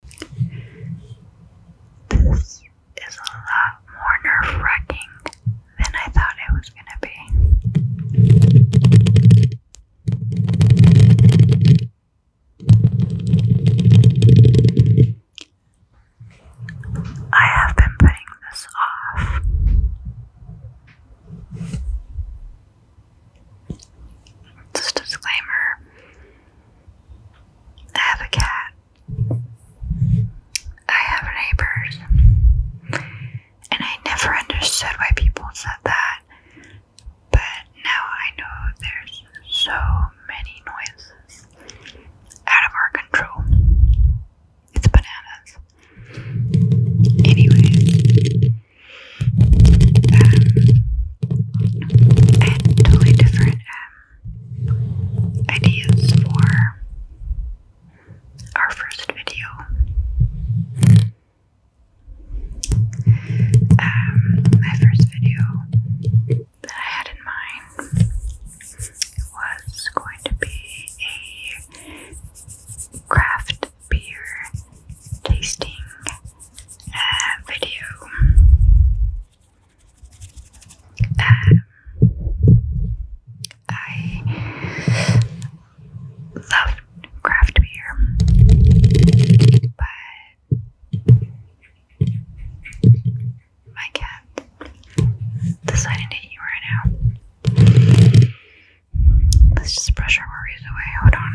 This is a lot more nerve wracking than I thought it was going to be. I have been putting this off. Just disclaimer I have a cat. I have neighbors. And I never understood why people said that. But now I know there's so many noises out of our control. It's bananas. Anyway, um, and totally different um, ideas for our first video. Um, my first video that I had in mind was going to be a craft beer tasting uh, video. Um, I love craft beer, but my cat decided to eat right now. Let's just brush our worries away. Hold on.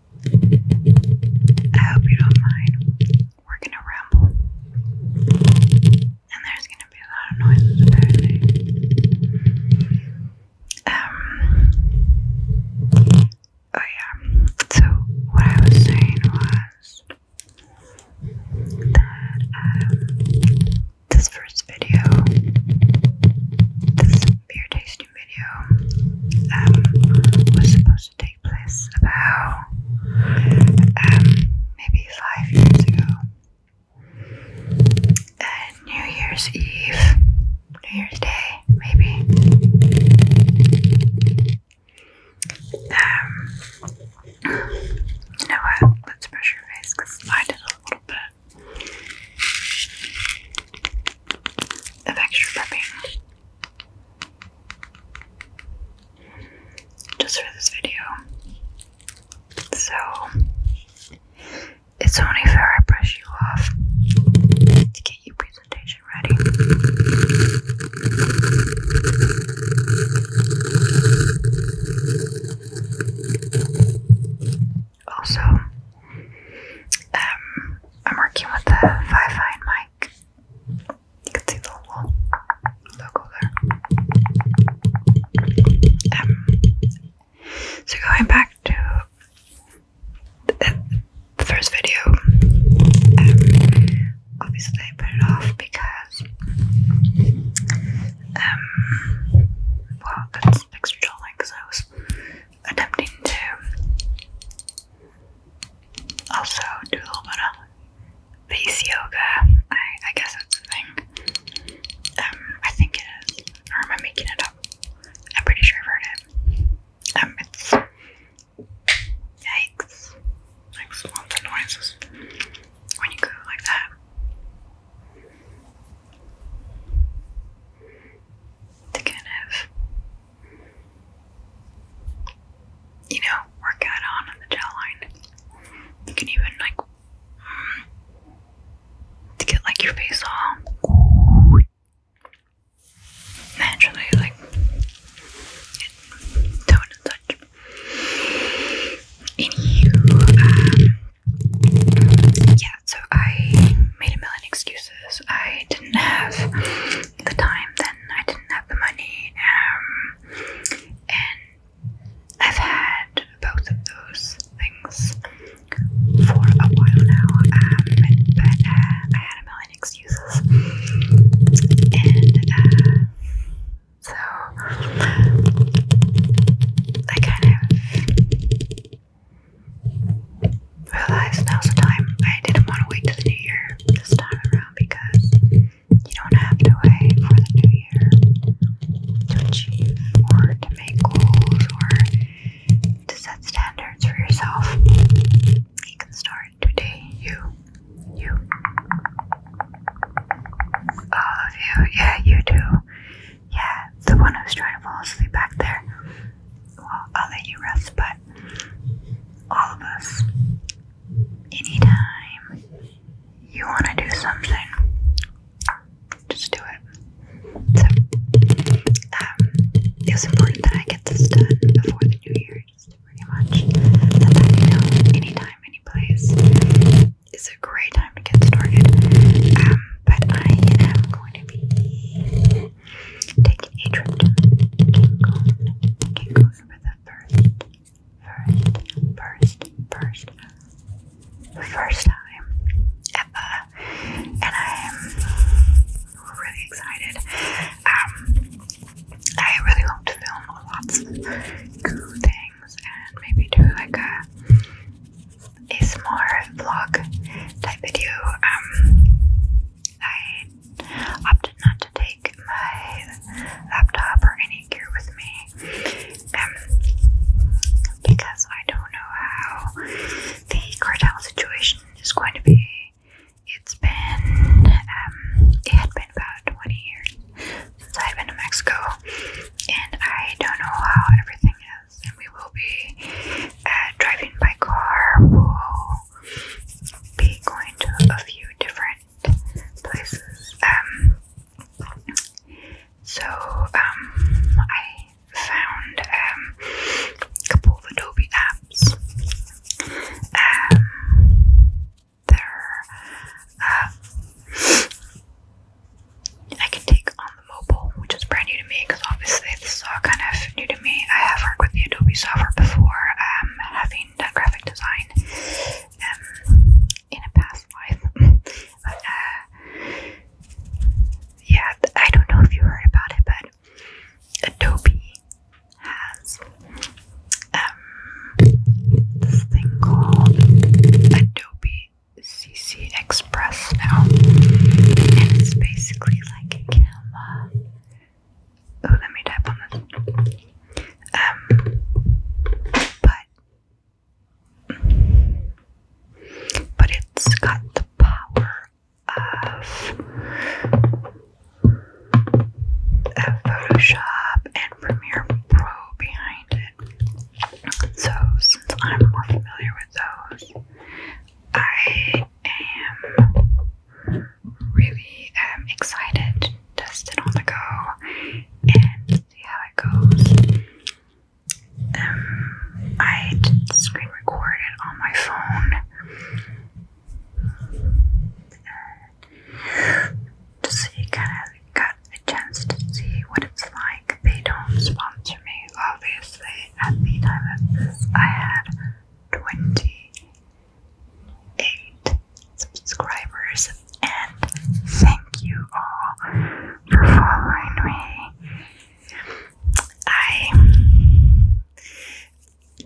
I hope you don't mind. We're gonna ramble. And there's gonna be a lot of noises apparently. Um oh yeah. So what I was saying was that um this first video, this beer tasting video um, was supposed to take place about um, maybe five years ago. New Year's Eve, New Year's Day, maybe. Um, you know what? Let's brush your face because I did a little bit extra prepping just for this video. So it's only fair I brush you off to get your presentation ready also, um, I'm working with the Five Fine mic. You can see the little logo there. Um, so going back to uh, the first video, um, obviously I put it off because, well, that's extra jolly because I was attempting to also do a little bit of face yoga. I, I guess that's a Um, I think it is. Or am I making it up? I'm pretty sure I've heard it. Um, it's yikes. Like lots of noises when you go like that to kind of, you know, work out on the jawline. You can even like get like your face all naturally like tone and such. Um, yeah, so I made a million excuses. I didn't have the time then, I didn't have the money, um, and I've had both of those things for a while now, um, but uh, I had a million excuses, and uh, so I kind of realized now's the time. I didn't want to wait to the new year this time around because you don't have to wait for the new year to achieve or to make goals or to set standards for yourself. You can start today. You, you, all of you, yeah, you too. Yeah, the one who's trying to fall asleep back there. Well, I'll let you rest, but all of us, anytime you want to do something, just do it. So, um, important that I get this done before the new year, just pretty much. that, you know, anytime, any place a great time to get started. Um, but I am going to be taking a trip to Cancun, Cancun for the first, first, first, first, first time ever, and I'm really excited. Um, I really hope to film lots of cool things and maybe do like a a small vlog type video. Um, I opted not to take my laptop or any gear with me um, because I don't know how the cartel situation is going to be. It's been, um, it had been about 20 years since I've been to Mexico, and I don't know how everything is and we will be uh, driving by car. We'll be going to a few different places. Um, so um, I found um, a couple of Adobe apps. they're uh, I can take on the mobile, which is brand new to me because obviously this is all kind of new to me. I have worked with the Adobe software before, um, having done graphic design um, in a past life. but uh, yeah, I don't know if you heard about it, but Adobe has um, this thing called Adobe CC Express now. And it's basically like a camera. Oh, let me tap on this. Um, but but it's got the power of Photoshop and Premiere Pro behind it. So since I'm more familiar with those, I am really um, excited to on the go and see how it goes. Um, I did screen record it on my phone uh, just so you kind of got a chance to see what it's like. They don't sponsor me, obviously. Seriously, at the I had 28 subscribers, and thank you all for following me. I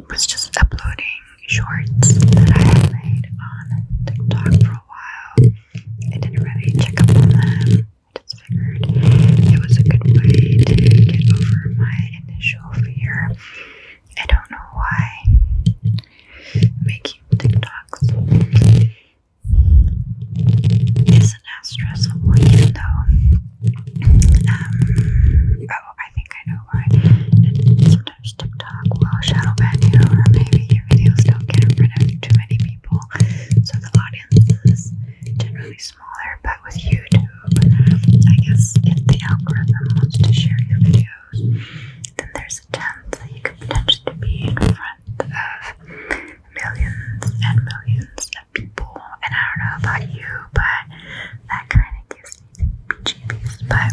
was just uploading shorts that I had made on TikTok for a while. I didn't really check up on them just figured it was a good way to get over my initial fear. I don't know why making TikToks isn't as stressful, even though, um, oh, I think I know why. And sometimes TikTok will shadow ban you, or maybe your videos don't get in front of too many people, so the audience generally smaller but with YouTube, I guess if the algorithm wants to share your videos, then there's a chance that you could potentially be in front of millions and millions of people. And I don't know about you, but that kind of gives me the BGBs. But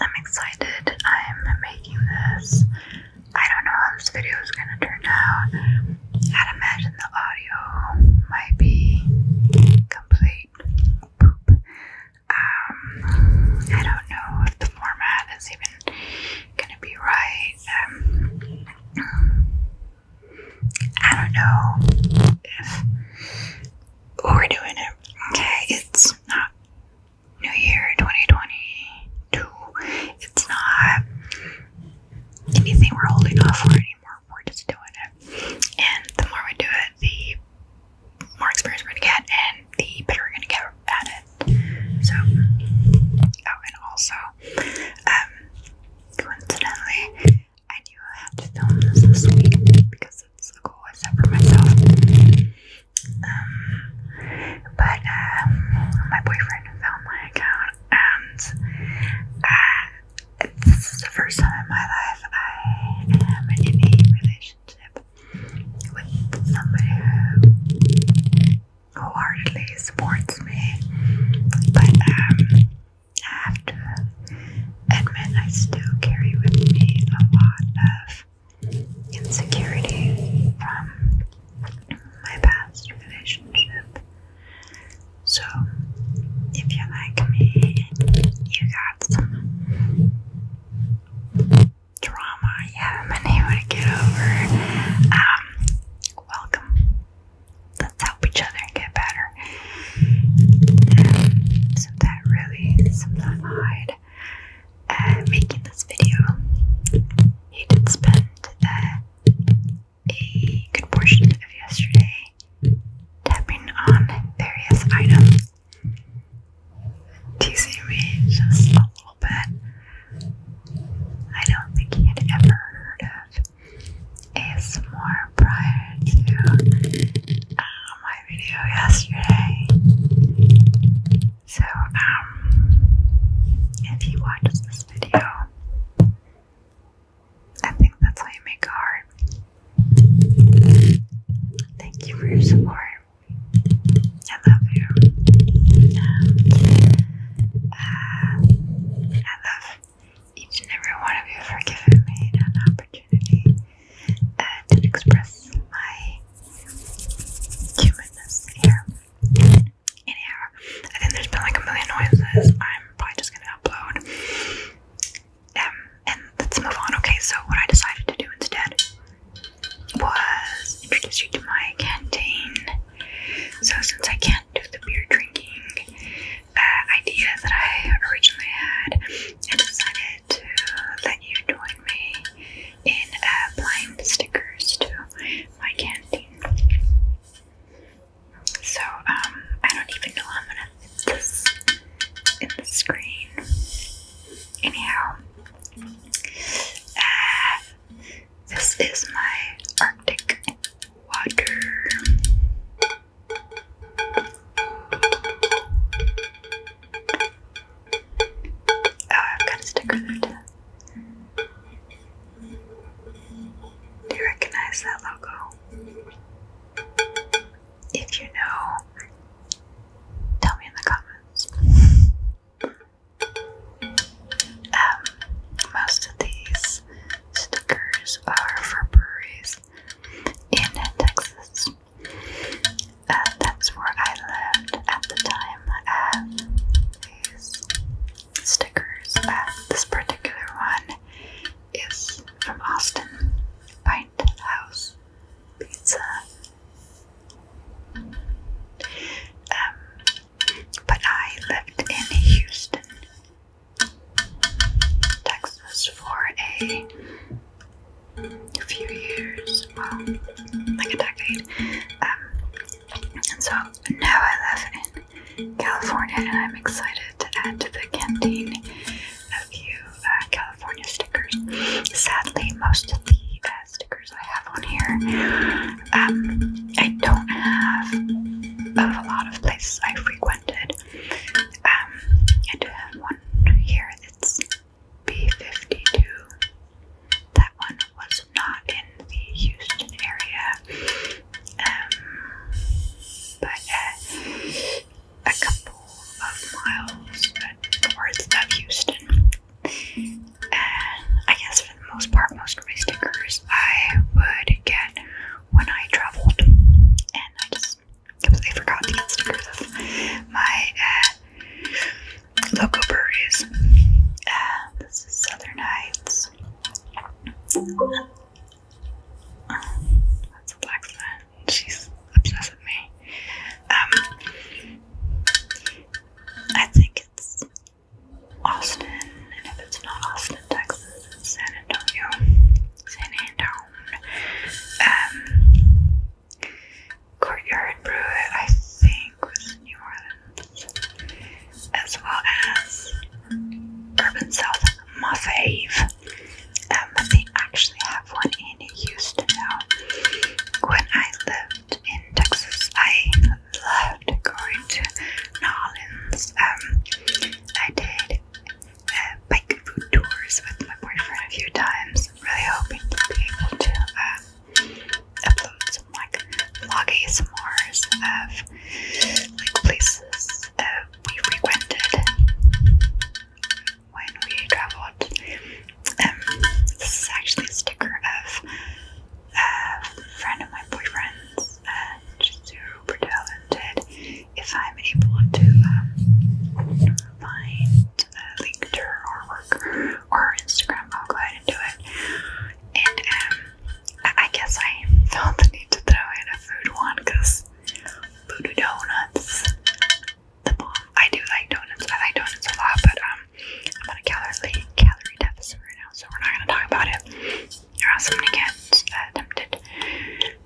I'm excited. I'm making this. I don't know how this video is going to turn out. I'd imagine the audio might be complete poop. Um, I don't know if the format is even gonna be right. Um, I don't know if we're doing it. Okay, it's not New Year 2022. It's not anything we're holding off for anymore, we're just doing it. And the more we do it, the more experience we're gonna get, and the better we're gonna get at it. So, oh, and also, um, coincidentally, I knew I had to film this this week because it's a goal I set for myself. Um, but um, my boyfriend found my account and uh, this is the first time in my life I am in a relationship with somebody who wholeheartedly supports me, but um, I have to admit I still carry with me a lot of insecurity from my past relationship. So, if you like me, you got some drama you haven't been able to get over. Um, welcome. Let's help each other get better. Um, so that really simplified uh, making this video. He did spend uh, a good portion of yesterday tapping on various items, teasing me just a little bit. I don't think he had ever heard of ASMR prior to uh, my video yesterday. So, um, if he watches this video, I think that's how you make a heart. Thank you for your support. I love you. Ah. I love each and every one of you for giving me an opportunity uh, to express my humanness here in here. I think there's been like a million noises. I'm probably just gonna upload. Um, and let's move on. Okay, so what I decided to do instead was introduce you to my canteen. So since I can't do the beer drinking uh, idea that I originally had, I decided to let you join me in applying uh, stickers to my canteen. So, um, I don't even know I'm gonna fit this in the screen. Anyhow, uh, this is my Arctic water. Oh, I've got a sticker there too. Do you recognize that logo? If you know, tell me in the comments. Um, most of these stickers are for breweries in Texas. Uh, that's where I lived at the time stickers. this particular one is from Austin Pint House Pizza. Um, but I lived in Houston, Texas for a few years, well, like a decade, um, and so now I live in California and I'm excited to add to the canteen a few uh, California stickers. Sadly, most of the uh, stickers I have on here, um, I don't have of a lot of places I frequented. Um, I do have one here that's B52. That one was not in the Houston area um, but uh, a couple of miles towards of Houston. And I guess for the most part, most of my stickers I would get when I traveled, and I just completely forgot to get stickers of my uh, local breweries. Uh, this is Southern Nights. That's a black fern. She's obsessed with me. Um, I think it's Austin, and if it's not Austin, Texas, it's San Antonio. San Antonio. Um, Courtyard Brew, I think, was New as well as Urban South, my fave. Um, they actually have one in Houston now. When I lived in Texas, I loved going to Nollins. Um, I did uh, bike food tours with my boyfriend a few times. really hoping to be able to. Uh, effluents and like vlog ASMRs of like places that we frequented when we traveled. Um, this is actually a sticker of a friend of my boyfriend's, and super talented. If I'm able to um, find a link to her artwork or Instagram, I'll go ahead and do it. And um, I guess I felt the need to throw in a food one because voodoo donuts. I do like donuts. I like donuts a lot, but um, I'm on a calorie calorie deficit right now, so we're not gonna talk about it. You're awesome am gonna get uh, tempted.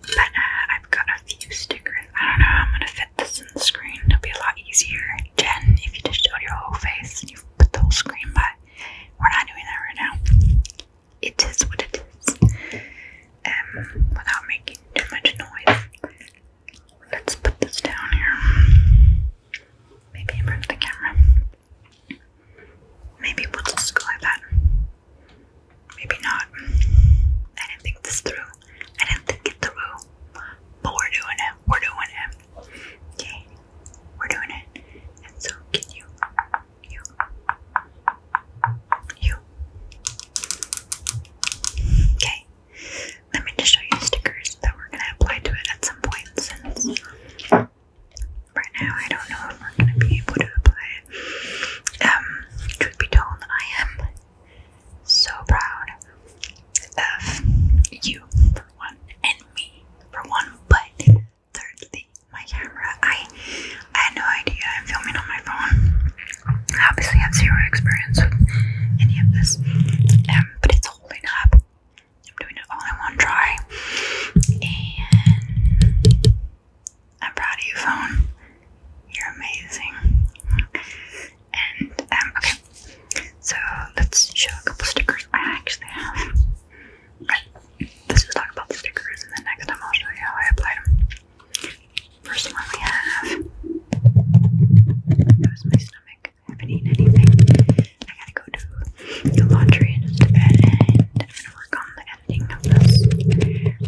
But I've got a few stickers. I don't know. how I'm gonna fit this in the screen. It'll be a lot easier. Jen, if you just show your whole face and you put the whole screen, but we're not doing that right now. It is what it is. Um, without making too much noise, let's put this down here. Maybe in front of the camera. Maybe we'll just go like that. Maybe not. I didn't think this through. I didn't think it through. But we're doing it. We're doing it. Yay, we're doing it. And so can you, you, you. Okay, let me just show you stickers that we're going to apply to it at some point since right now I don't know if we're going to be able to apply it. Um, truth be told, I am so proud of you for one and me for one, but Thirdly, my camera. I, I had no idea I'm filming on my phone. I obviously have zero experience with any of this, um, but it's holding up. I'm doing it all in one try, and I'm proud of you, phone. You're amazing. And um, okay, so let's show a couple stickers I actually have let's just talk about the stickers and then next time I'll show you how I applied them. First one we have that was my stomach. I haven't eaten anything. I gotta go do the laundry in just a bit and work on the editing of this.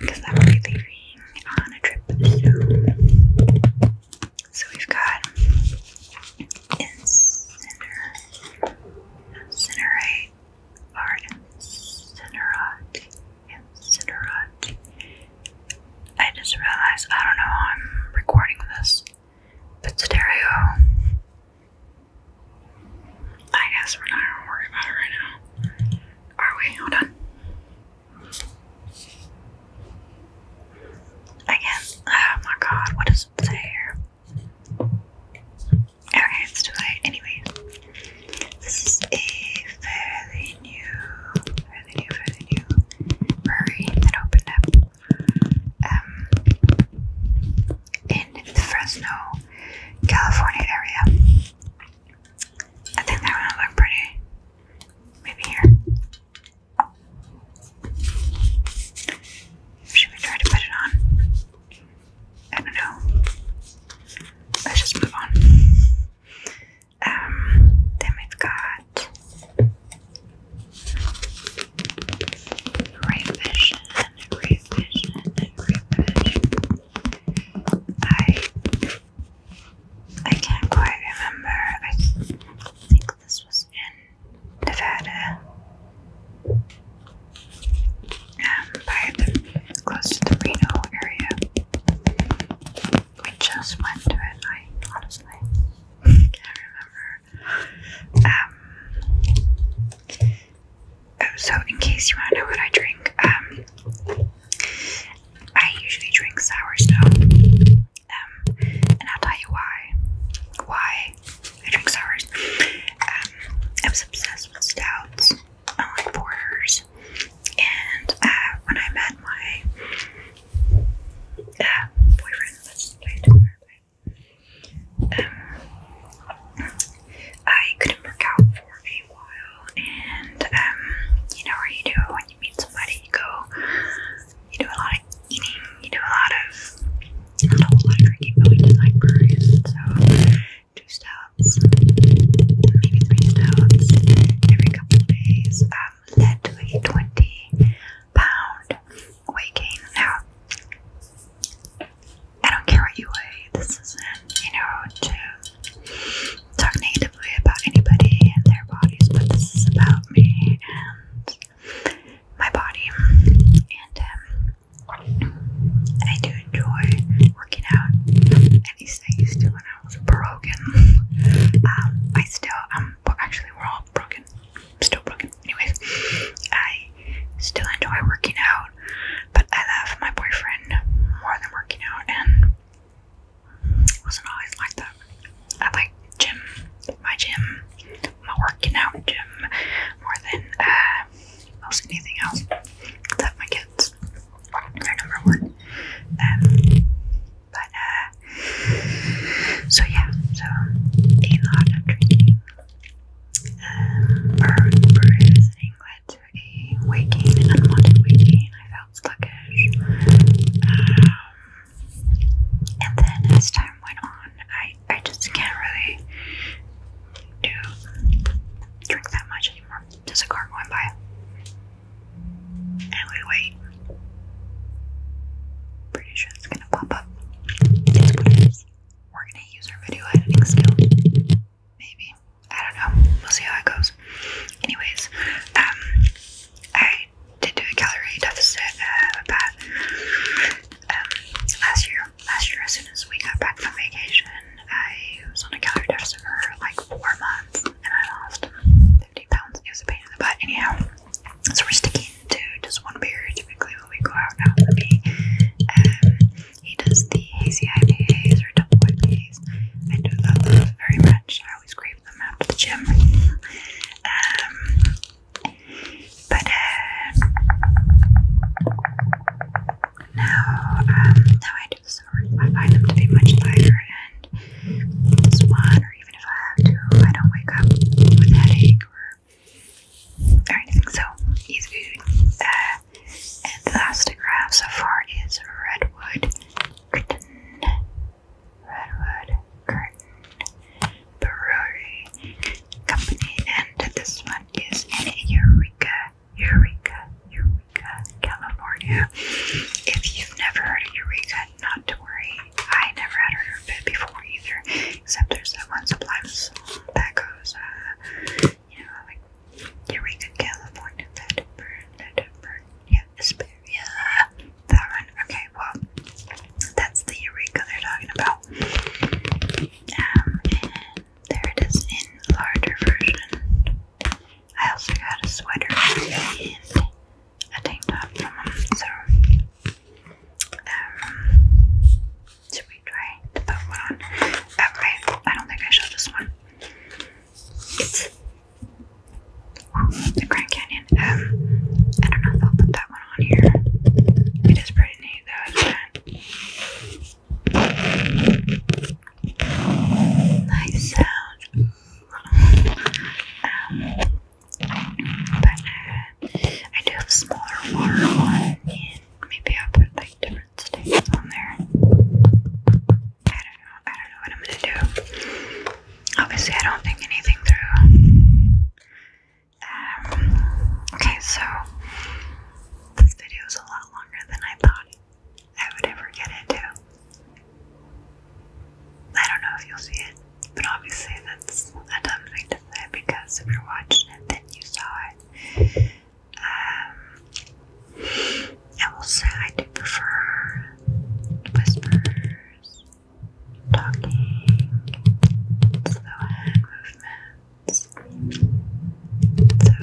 Because I will leaving on a trip So we've got Incinerate or incinerate. Incinerate. I just realized I don't know how I'm recording this, but stereo. I guess we're not going about it right now. Are we? Hold on. Again, oh my god, what does Okay, it's Anyway, this is a fairly new, fairly new, fairly new brewery that opened up um, in the Fresno, California area. I think that one will pretty. Maybe here. Should we try to put it on? I don't know. Let's just move on. Um, then we've got Ray Vision, Ray Vision, Ray I I can't quite remember. I think this was in Nevada. Um, close to the Reno area. We just went to it. I honestly can't remember. Um, oh, so in case you want to know what I drink, um, I usually drink sour snow. Um, and I'll tell you why. Why I drink sours. Um, I was obsessed with stouts, I like porters, and uh, when I met my uh, boyfriend, um, I couldn't work out for a while, and um, you know how you do when you meet somebody, you go you do a lot of eating, you do a lot of, you know, a lot of drinking, but we do like breweries, so two stouts, maybe three stouts every couple of days um, led to a 20 pound weight gain. Now, I don't care what you weigh, this isn't, you know, to talk negatively about anybody and their bodies, but this is about me and my body, um, and I do enjoy working out. At least I used to when I was broken. Um, I still um, well, actually we're all broken, still broken. Anyways, I still enjoy working out, but I love my boyfriend more than working out, and it wasn't always like that. I like gym, my gym, my working out gym more than uh, most anything else except my kids. They're number one. Um, but uh, so yeah, so a lot of drinking. Um, bruising led waking, unwanted waking. I felt sluggish. Um, and then as time went on, I I just can't really do drink that much anymore. There's a car going by, and we wait. Pretty sure it's gonna pop up. we is. We're gonna use our video editing skill. Maybe. I don't know. We'll see how it goes. Anyways, um I did do a calorie deficit uh, about um, last year. Last year, as soon as we got back from vacation, I was on a calorie deficit for like four months, and I lost 50 pounds. It was a pain in the butt, anyhow. So we're sticking to just one beer typically when we go out now for me. Um, he does the hazy IPAs or double IPAs. I do that those very much. I always crave them after the gym. Um, but uh, now, um, now I do sort. I find them to be much lighter, and this one, or even if I have to, I don't wake up with a headache or, or anything. So uh, the last graph so far is redwood redwood brewery company, and this one is Eureka, Eureka, Eureka, California. If you've never heard of Eureka, not to worry. I never had heard of it before either, except there's that one sublime song that goes, uh, you know, like Eureka, California, that burn, that burn, yeah, Hesperia, that one. Okay, well, that's the Eureka they're talking about. Um, there it is in larger version. I also got a sweater and a tank top from them, so um, should we try to put one Okay, I don't think I showed this one. the Grand Canyon I um, I don't know if I'll put that one on here. It is pretty neat though, Nice sound. um, but uh, I do have smaller water one, and maybe I'll put like different stains on there. I don't know. I don't know what I'm gonna do. Obviously, I don't think anything through. Um, okay, so this video is a lot longer than I thought I would ever get into. I don't know if you'll see it, but obviously that's a dumb thing to say because if you're watching it, then you saw it. Um, I I do prefer whispers talking, slow hand movements. So,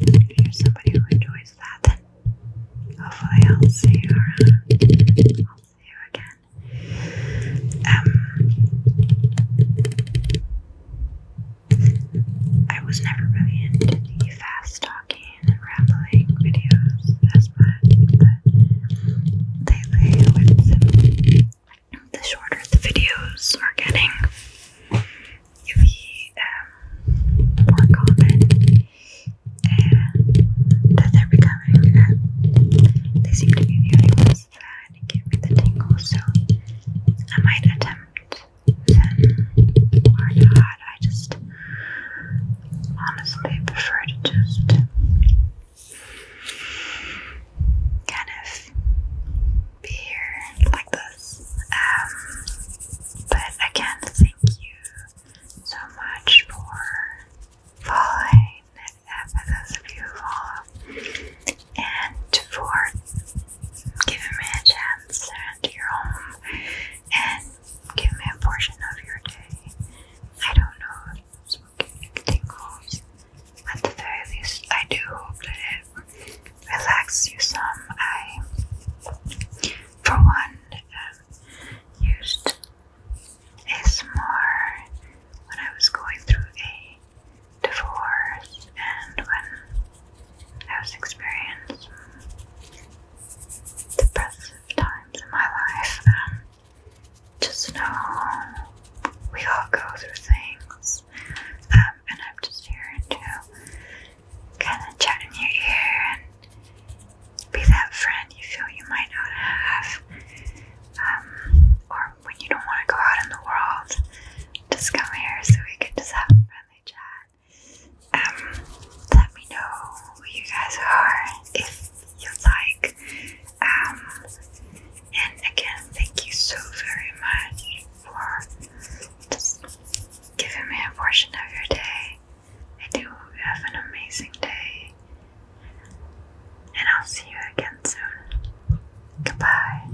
if you're somebody who enjoys that, then hopefully I'll see you around. I'll see you again. Um, I was never really into the fast talking and rambling videos but they lay with the shorter the videos are getting, the um, more common, and that they're becoming. Um, they seem to be the only ones that give me the tingle. so I might attempt them or not. I just honestly prefer to just kind of be here like this. Um, but again, thank you so much for following, for those of you who follow, and for giving me a chance to enter your home and give me a portion of your day. I don't know. It's at the very least, I do hope that it relaxes you some. I, for one, um, used ASMR when I was going through a divorce and when I was experiencing depressive times in my life. Um, just know we all go through things. Um, and I'm just here to kind of chat in your ear and be that friend you feel you might not have. Um, or when you don't want to go out in the world, just come here so we can just have a friendly chat. Um, let me know who you guys are you like. Um, and again, thank you so very much for giving me a portion of your day. I do have an amazing day. And I'll see you again soon. Goodbye.